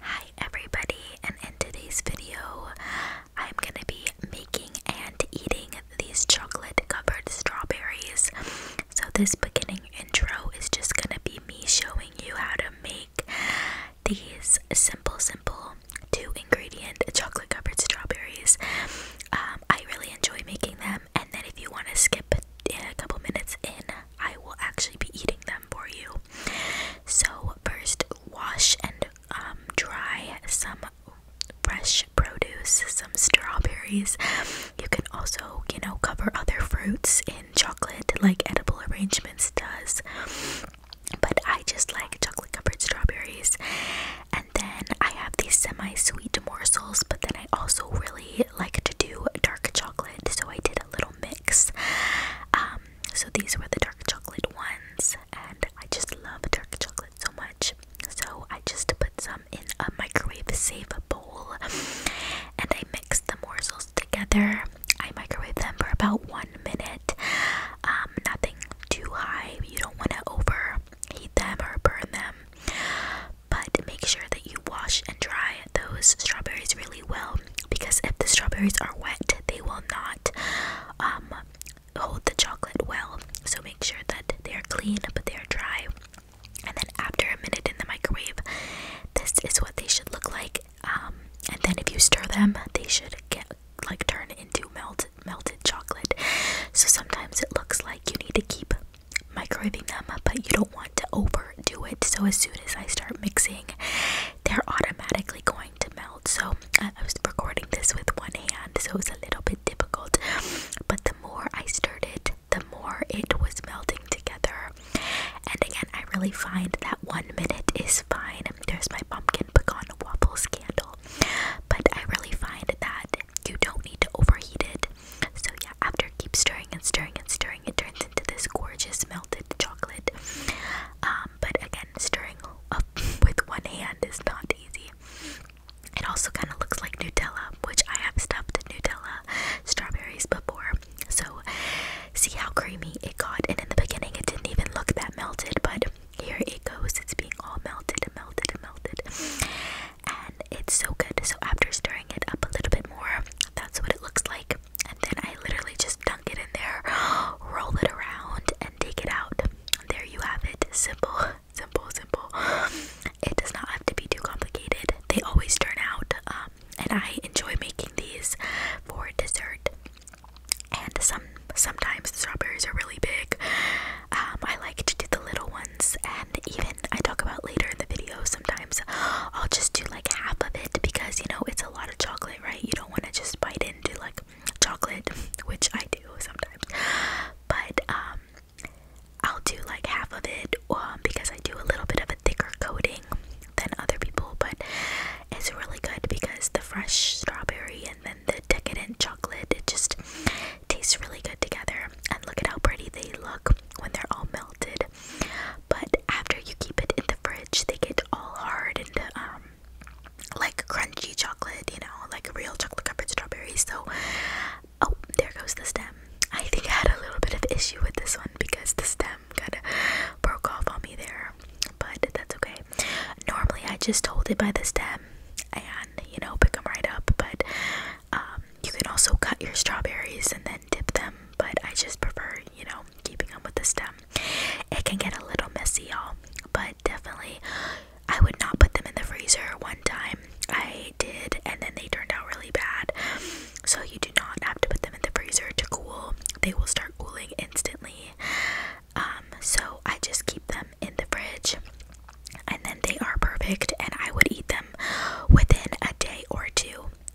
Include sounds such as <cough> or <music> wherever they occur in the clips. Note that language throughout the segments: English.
Hi everybody, and in today's video, I'm gonna be making and eating these chocolate covered strawberries. So, this beginning intro is just gonna be me showing you how to make these simple, simple two ingredient chocolate covered strawberries. Um, I really enjoy making them, and then if you want to skip a couple minutes in, I will actually be eating them for you. So, first, wash and um, dry some fresh produce, some strawberries. You can also, you know, cover other fruits in chocolate like Edible Arrangements does. But I just like chocolate covered strawberries. And then I have these semi sweet morsels, but then I also really like to do dark chocolate. So I did a little mix um, so these were the dark chocolate ones, and I just love dark chocolate so much. So I just put some in a microwave safe bowl, and I mixed the morsels together. I microwave them for about one minute. Um, nothing too high. You don't want to overheat them or burn them. But make sure that you wash and dry those strawberries really well because if the strawberries are wet, they will not um, hold the chocolate well. So make sure that they are clean but they are dry. And then after a minute in the microwave, this is what they should look like. Um, and then if you stir them, they should get like turn into melted melted chocolate. So sometimes it looks like you need to keep microwaving them, but you don't want to over do it. So as soon as I start mixing, they're automatically going to melt. So I, was recording this with one hand, so it was a little bit difficult. But the more I stirred it, the more it was melting together. And again, I really find that one minute is fine. There's my pumpkin pecan waffles candle. But I really find that you don't need to overheat it. So yeah, after keep stirring and stirring and stirring it turns into this gorgeous melted chocolate. Um, but again, stirring up <laughs> with one hand is not easy. It also kind of looks like Nutella, which I have stuffed Nutella strawberries before. So, see how creamy it got. And in the beginning, it didn't even look that melted, but here it goes. It's being all melted and melted and melted. And it's so good. So, after stirring it up a little bit more, that's what it looks like and then I literally just dunk it in there, <gasps> roll it around, and take it out. There you have it. Simple, <laughs> simple, simple. <sighs> It does not have to be too complicated. They always turn out, um, and I enjoy making these for dessert. And some sometimes the strawberries are really big. Um, I like to do the little ones, and even I talk about later in the video. Sometimes I'll just do like half of it because you know it's a lot of chocolate, right? You don't want to just bite into like chocolate, <laughs> which I do sometimes. But um, I'll do like half of it um, because I do a little bit of a thicker coating than other people, but it's really good because the fresh strawberry and then the decadent chocolate, it just tastes really good together. And look at how pretty they look when they're all melted. But after you keep it in the fridge, they get all hard and um, like crunchy chocolate, you know, like real chocolate covered strawberries. So, oh, there goes the stem. I think I had a little bit of issue with this one because the stem kind of broke off on me there, but that's okay. Normally, I just hold it by the stem and you know pick them right up, but um, you can also cut your strawberries and then dip them but I just prefer, you know, keeping them with the stem. It can get a little messy, y'all, but definitely I would not put them in the freezer one time. I did, and then they turned out really bad. So you do not have to put them in the freezer to cool. They will start cooling instantly. Um, so I just keep them in the fridge, and then they are perfect, and I would eat them within a day or two.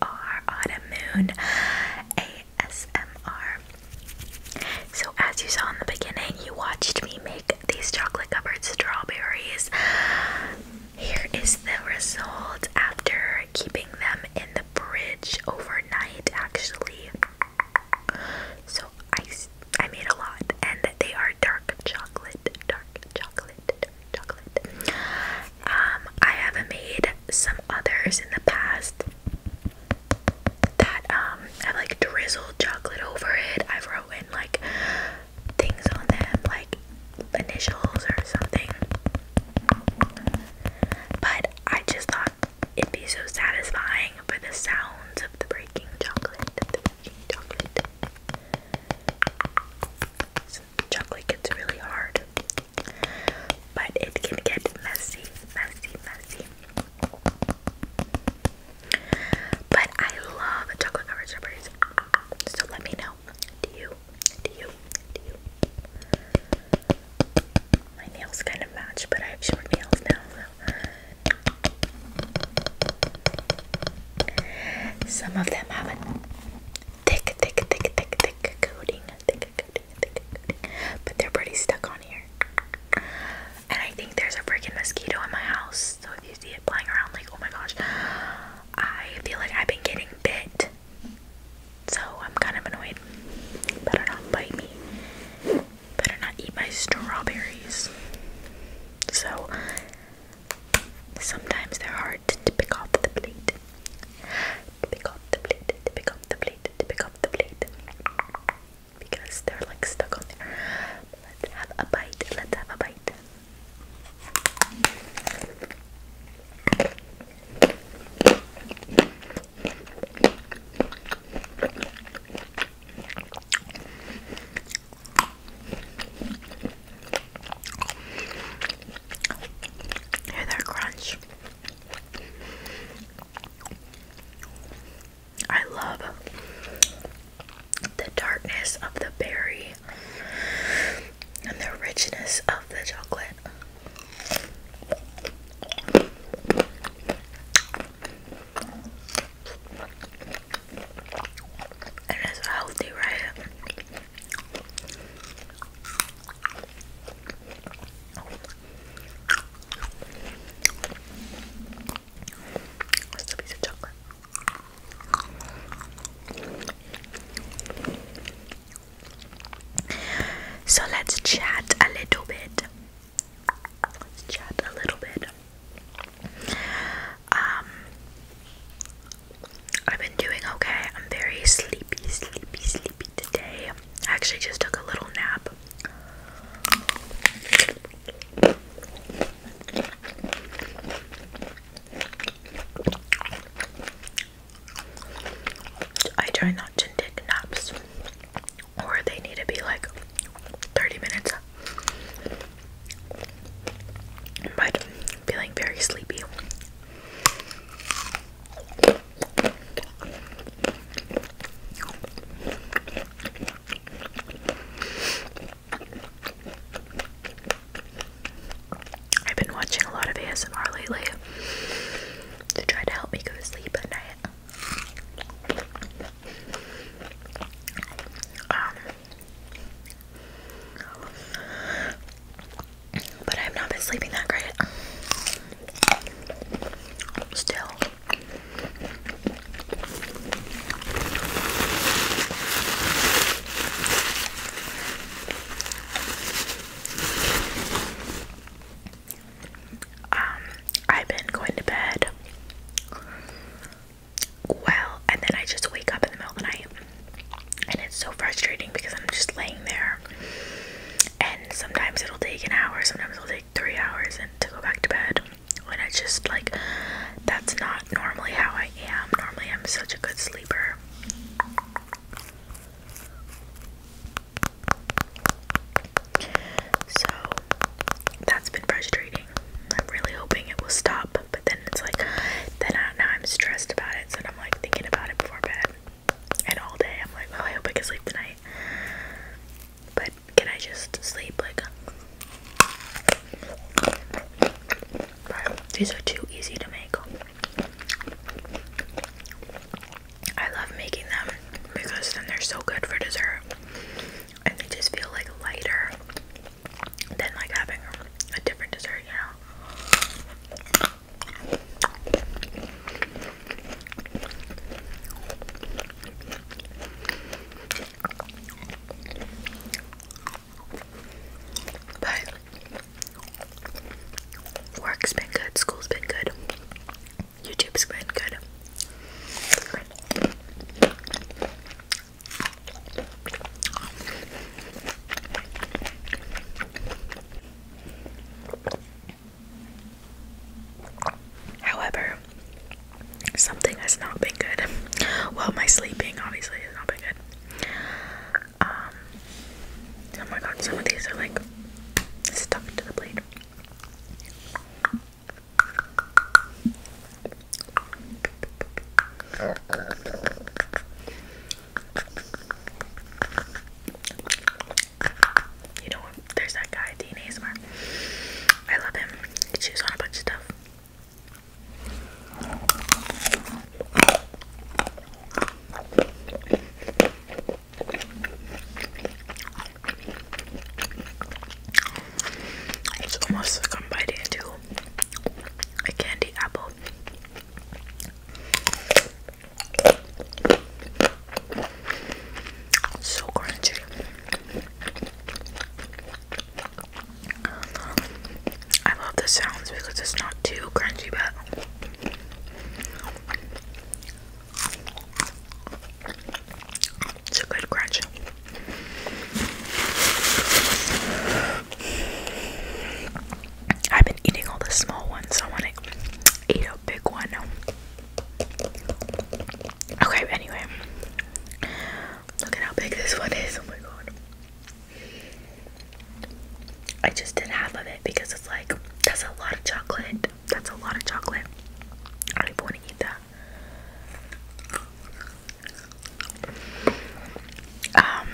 ASMR Autumn ASMR. So as you saw in the beginning, you watched me make these chocolate covered strawberries. Here is the result after keeping them in the fridge overnight actually. So I I made a lot and they are dark chocolate, dark chocolate, dark chocolate. Um, I have made some others in the past that i um, like drizzled chocolate over it. I've written like things on them, like initials or something. But I just thought it'd be so satisfying for the sounds of the breaking chocolate. chocolate gets really hard but it can get messy, messy, messy. But I love chocolate covered strawberries. So let me know. Do you? Do you? Do you? My nails kind of match, but I have short nails now. So. Some of them have a thick, thick, thick, thick, thick coating. Thick but they're pretty stuck on here. And I think there's a freaking mosquito in my house. So if you see it flying around, like, oh my gosh. I feel like I've been getting bit. So I'm kind of annoyed. Better not bite me. Better not eat my strawberries. So sometimes they're hard to pick off the plate pick up the plate, to pick up the plate, to pick up the plate because they're like stuck on there. Let's have a bite, let's have a bite. Hear their crunch. I love the darkness of the berry and the richness of the chocolate. And it's healthy, right? That's piece of chocolate. So let's chat a little bit. chat a little bit. Um, I've been doing okay. I'm very sleepy, sleepy, sleepy, today. I actually just took a little nap. I try not to take naps, or they need to be like 30 minutes. But I'm feeling very sleepy. I've been watching a lot of ASMR lately to try to help me go to sleep at night. Um, but I have not been sleeping that great. Still. Um, I've been going to bed well, and then I just wake up in the middle of the night and it's so frustrating because I'm just laying there and sometimes it'll take an hour, sometimes it'll take three hours and to go back to bed. When it's just like that's not normally how I am. Normally I'm such a good sleeper. So that's been frustrating. I'm really hoping it will stop, but then it's like then now I'm stressed about it, so I'm like thinking about it before bed and all day I'm like, oh, I hope I can sleep tonight. But can I just sleep like? These are too easy to make. I love making them because then they're so good for dessert, and they just feel like lighter than like having a different dessert, you know. But work's been good, school's been good, YouTube's been good. However, something has not been good. <laughs> Well, my sleeping obviously has not been good. Um, oh my god, some of these are like stuck to the plate. <laughs> You know, there's that guy, Dean ASMR. I love him. He chews on a bunch of stuff. It's almost like I'm biting into a candy apple. So crunchy. I love the sounds because it's not too crunchy, but it's a good crunch. I've been eating all the small ones, so I want to eat a big one. Okay, anyway. Look at how big this one is. Oh my god. I just did half of it because it's like, that's a lot of chocolate. That's a lot of chocolate. I don't want to eat that. Um,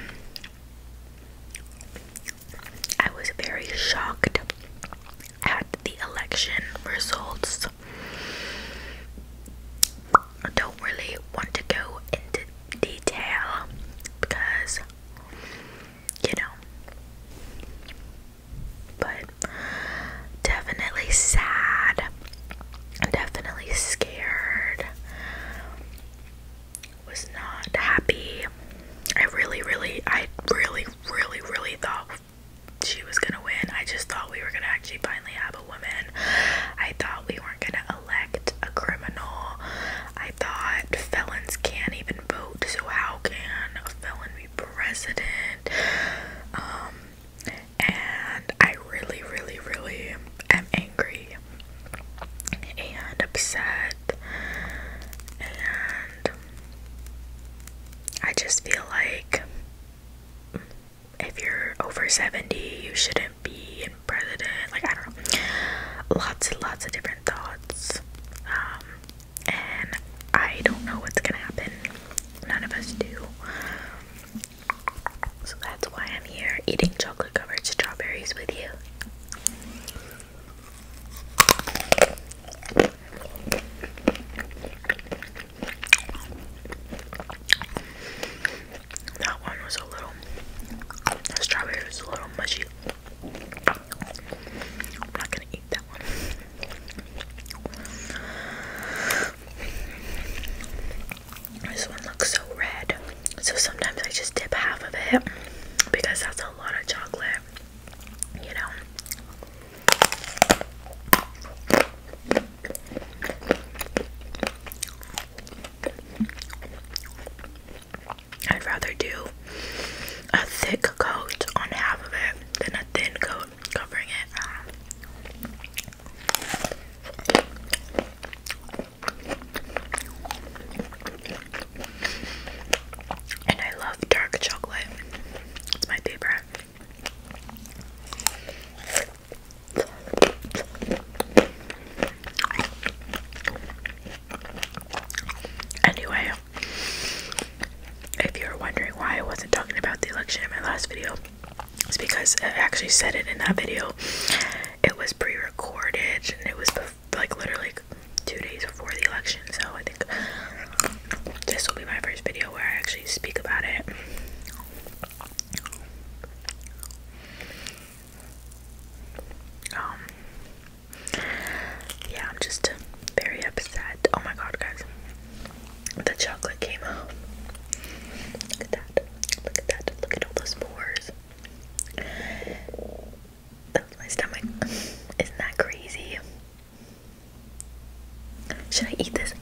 I was very shocked at the election results. I don't really want to go into detail because, you know, but definitely sad, definitely scared was not happy. I really, really, I really, really, really thought she was gonna win. I just thought we were gonna actually finally have a woman. I thought we weren't gonna elect a criminal. I thought felons can't even vote, so how can a felon be president? Um, and I really, really, really am angry angry and upset and I just feel like if you're over 70, you shouldn't be president. Like, I don't know. Lots and lots of different thoughts. Um, and I don't know what's gonna happen. None of us do. So that's why I'm here eating chocolate covered strawberries with you. That one was a little, strawberry was a little mushy. not gonna eat that one. This one looks so red. So sometimes I just dip half of it because that's a lot of chocolate, you know. I'd rather do a thick coat on half of it than a thin coat covering it. And I love dark chocolate. It's my favorite. Anyway, if you're wondering why I wasn't talking about the election in my last video, it's because I actually said it in that video. It was pre recorded it was like literally two days before the election. So I think this will be my first video where I actually speak about it. Um, yeah, I'm just very upset. Oh my god, guys, the chocolate came out. Look at that. Look at that. Look at all those spores. That my stomach. Isn't that crazy? Should I eat this?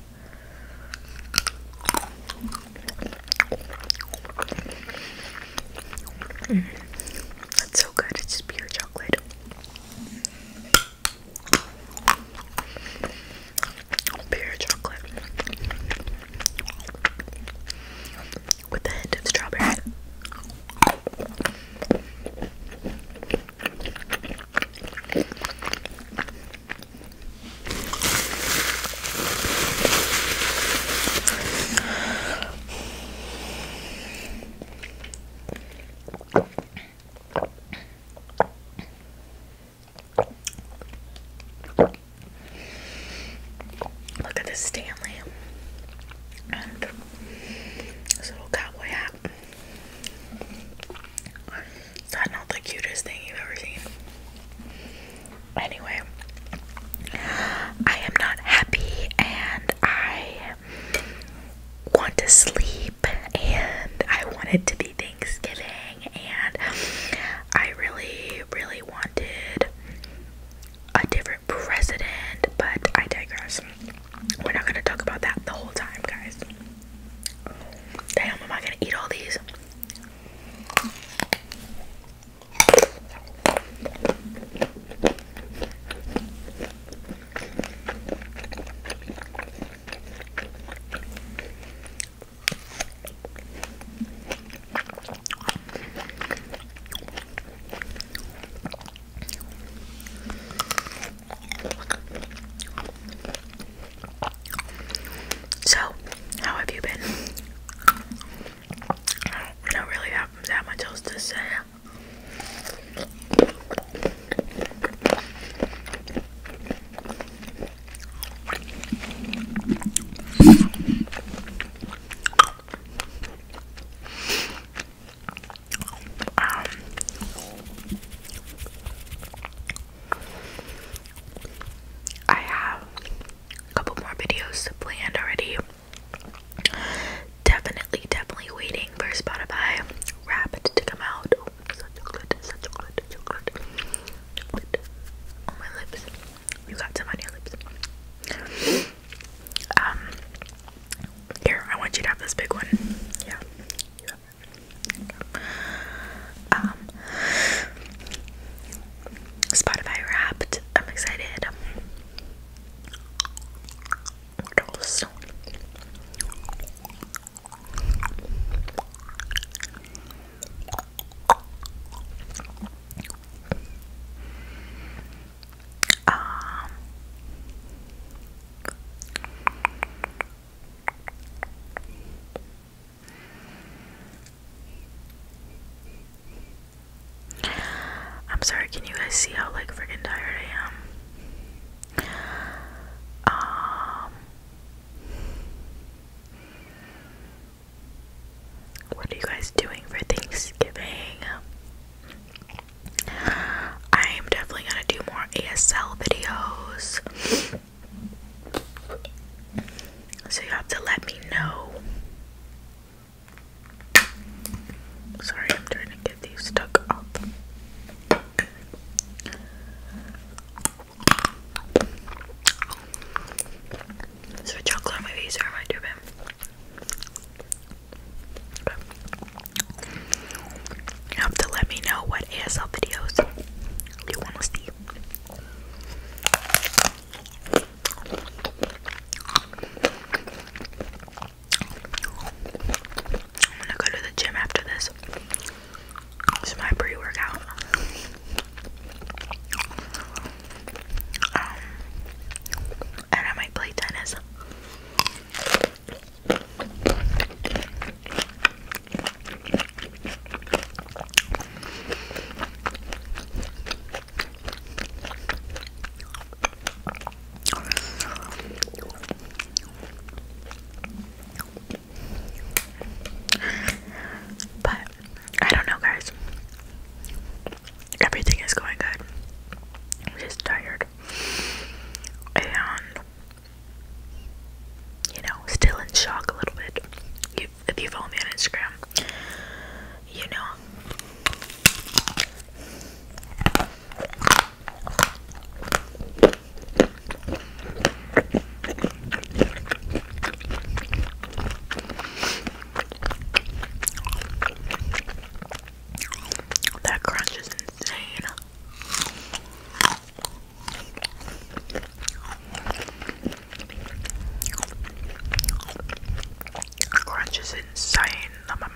Mm. That's so good. It's just pure chocolate. Pure chocolate with a hint of strawberry. Look at this Stanley and this little cowboy hat. Is that not the cutest thing you've ever seen? Anyway, I am not happy and I want to sleep and I want to be Thanksgiving and I really, really wanted a different president, but I digress. We're not gonna talk about that the whole time, guys. Damn, am I gonna eat all these? So, how have you been? I don't really have that much else to say. I have a couple more videos planned already. Definitely, definitely waiting for Spotify Rapid to come out. Oh, such good, such good, such good. Good. my lips. You got some on lips. Um, here, I want you to have this big one. Yeah. Um, Spotify Wrapped. I'm excited. What um, I'm sorry, can you guys see how like freaking tired I am? Um, what are you guys doing for Thanksgiving? I'm definitely gonna do more ASL videos. So you have to let me know. Sorry, I'm trying to get these stuck up. So chocolate movies are my two have to let me know what ASL videos you want to see. I'm gonna go to the gym after this. This my pre workout. Um, and I might play tennis. But I don't know, guys. Everything is going good. I'm just tired. And, you know, still in shock a little bit. if you follow me on Instagram, you know. That crunch is insane. Crunch is insane on my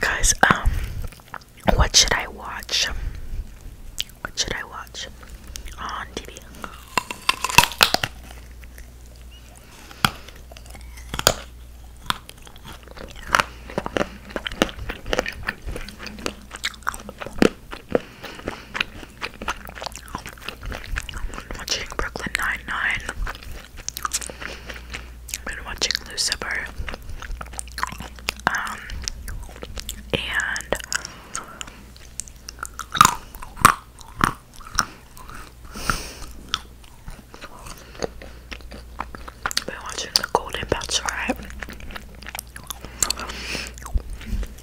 Guys, um what should I watch? What should I watch on TV? Watching Brooklyn Nine Nine. I've been watching Lucifer. Um, I've been watching the Golden Bachelorette.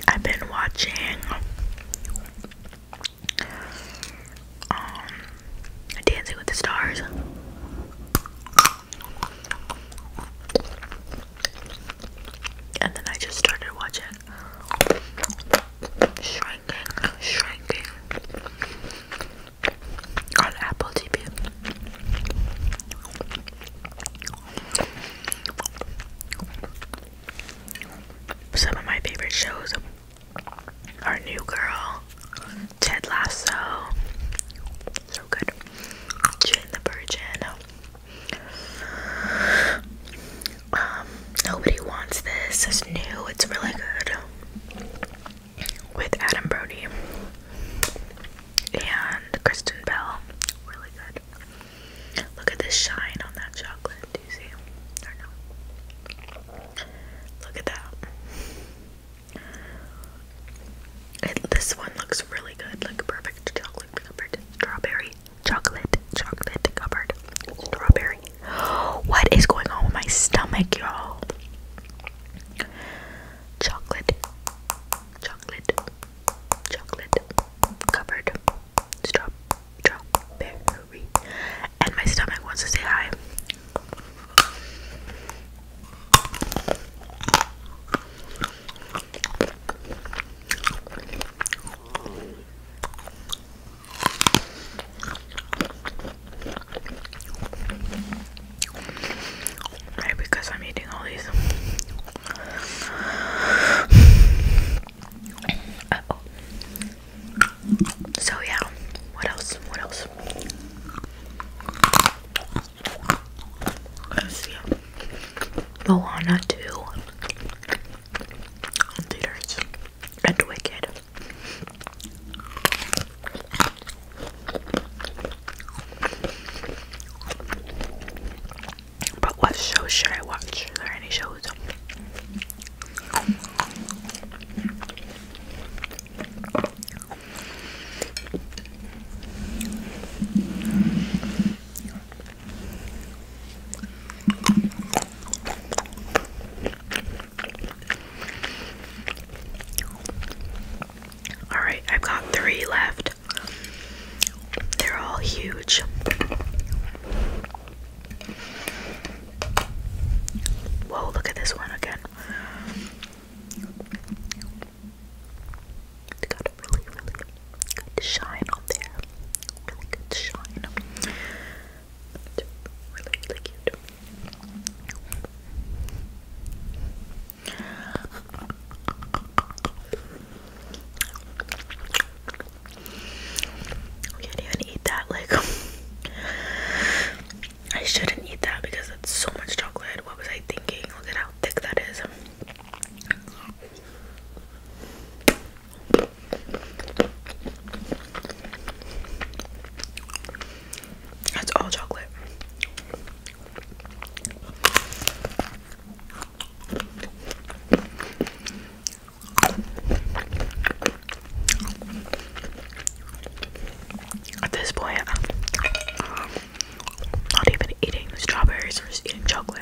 I've been watching Dancing with the Stars. And then I just started watching Shrinking, Shrinking on Apple TV. Some of my favorite shows are New Girl, Ted Lasso, so good. Jane the Virgin. Um, nobody wants this. It's new. It's really good. With Adam Brody and Kristen Bell. Really good. Look at the shine on that chocolate. Do you see? Look at that this one looks really good, like perfect chocolate covered strawberry, chocolate, chocolate covered strawberry. <gasps> What is going on with my stomach, y'all? Chocolate, chocolate, chocolate covered strawberry. And my stomach wants to say hi. Maybe because I'm eating all these. -oh. So yeah, what else? What else? Let's see. Moana 2 in theaters and Wicked. But what shows should I watch? Are there any shows? All right, I've got three left. They're all huge. Whoa, look at this one again it really, really good shine on there. Really good shine. really, really cute. can't even eat that. Like, <laughs> I shouldn't eat that because it's so much chocolate. What was I thinking? Look at how thick that is. That's all chocolate. At this point, i not even eating strawberries, I'm just eating chocolate.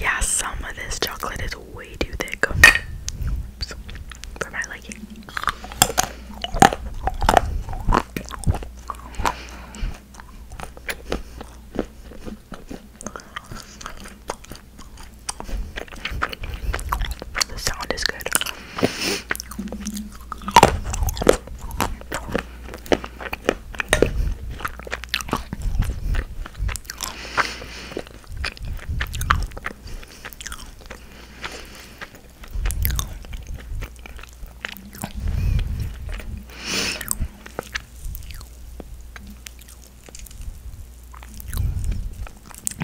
yeah, some of this chocolate is way too thick for my like it. The sound is good.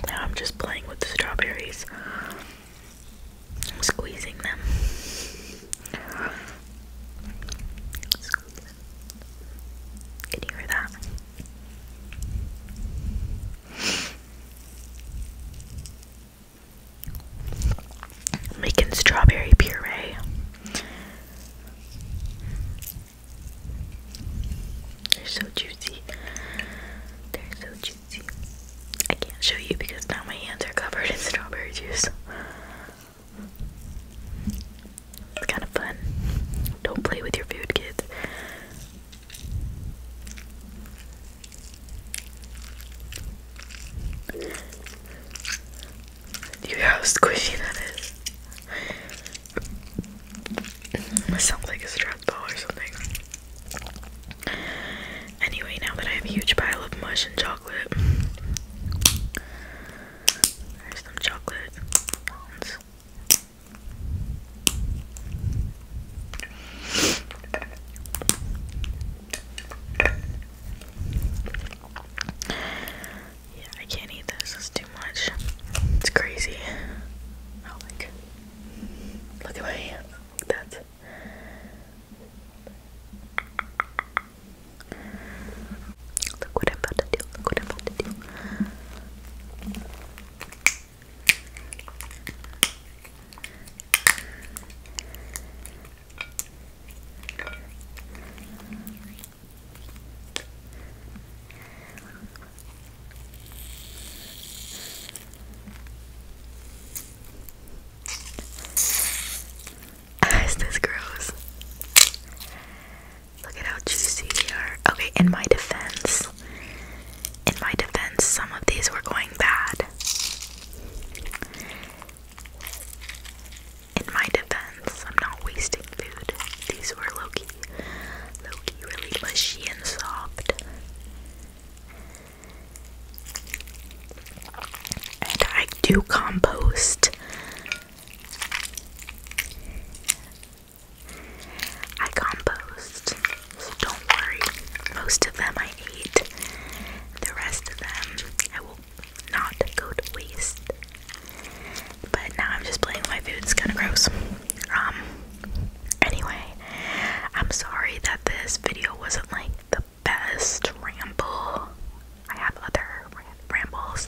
Now I'm just playing with the strawberries. I'm squeezing them. Can you hear that? Making strawberry puree. They're so juicy. They're so juicy. I can't show you because now my hands are covered in strawberry juice. It's kind of fun. Don't play with your food, kids. Do you hear how squishy that is? That sounds like a strap ball or something. Anyway, now that I have a huge pile of mush and chocolate, there's some chocolate. Yeah, I can't eat this. It's too much. It's crazy. Oh my Look at my hands. That's Look what I'm about to do. Look what I'm about to do. Is this gross? Look at how juicy they are. Okay, in my defense, in my defense, some of these were going bad. In my defense, I'm not wasting food. These were Loki. Loki really mushy and soft. And I do compost. I compost, so don't worry. Most of them I eat; The rest of them I will not go to waste. But now I'm just playing with my food. It's kind of gross. Um. Anyway, I'm sorry that this video wasn't like the best ramble. I have other rambles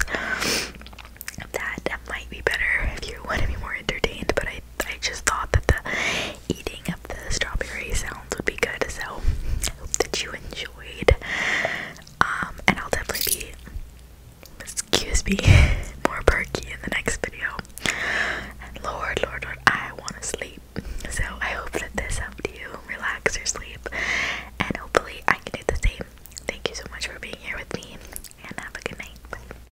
that might be better if you want to be more entertained, but I I just thought that the eating of the strawberry sounds would be good. So I hope that you enjoyed. Um, and I'll definitely be excuse me <laughs> more perky in the next video. Lord, Lord, Lord, I want to sleep. So I hope that this helped you relax or sleep. And hopefully I can do the same. Thank you so much for being here with me and have a good night.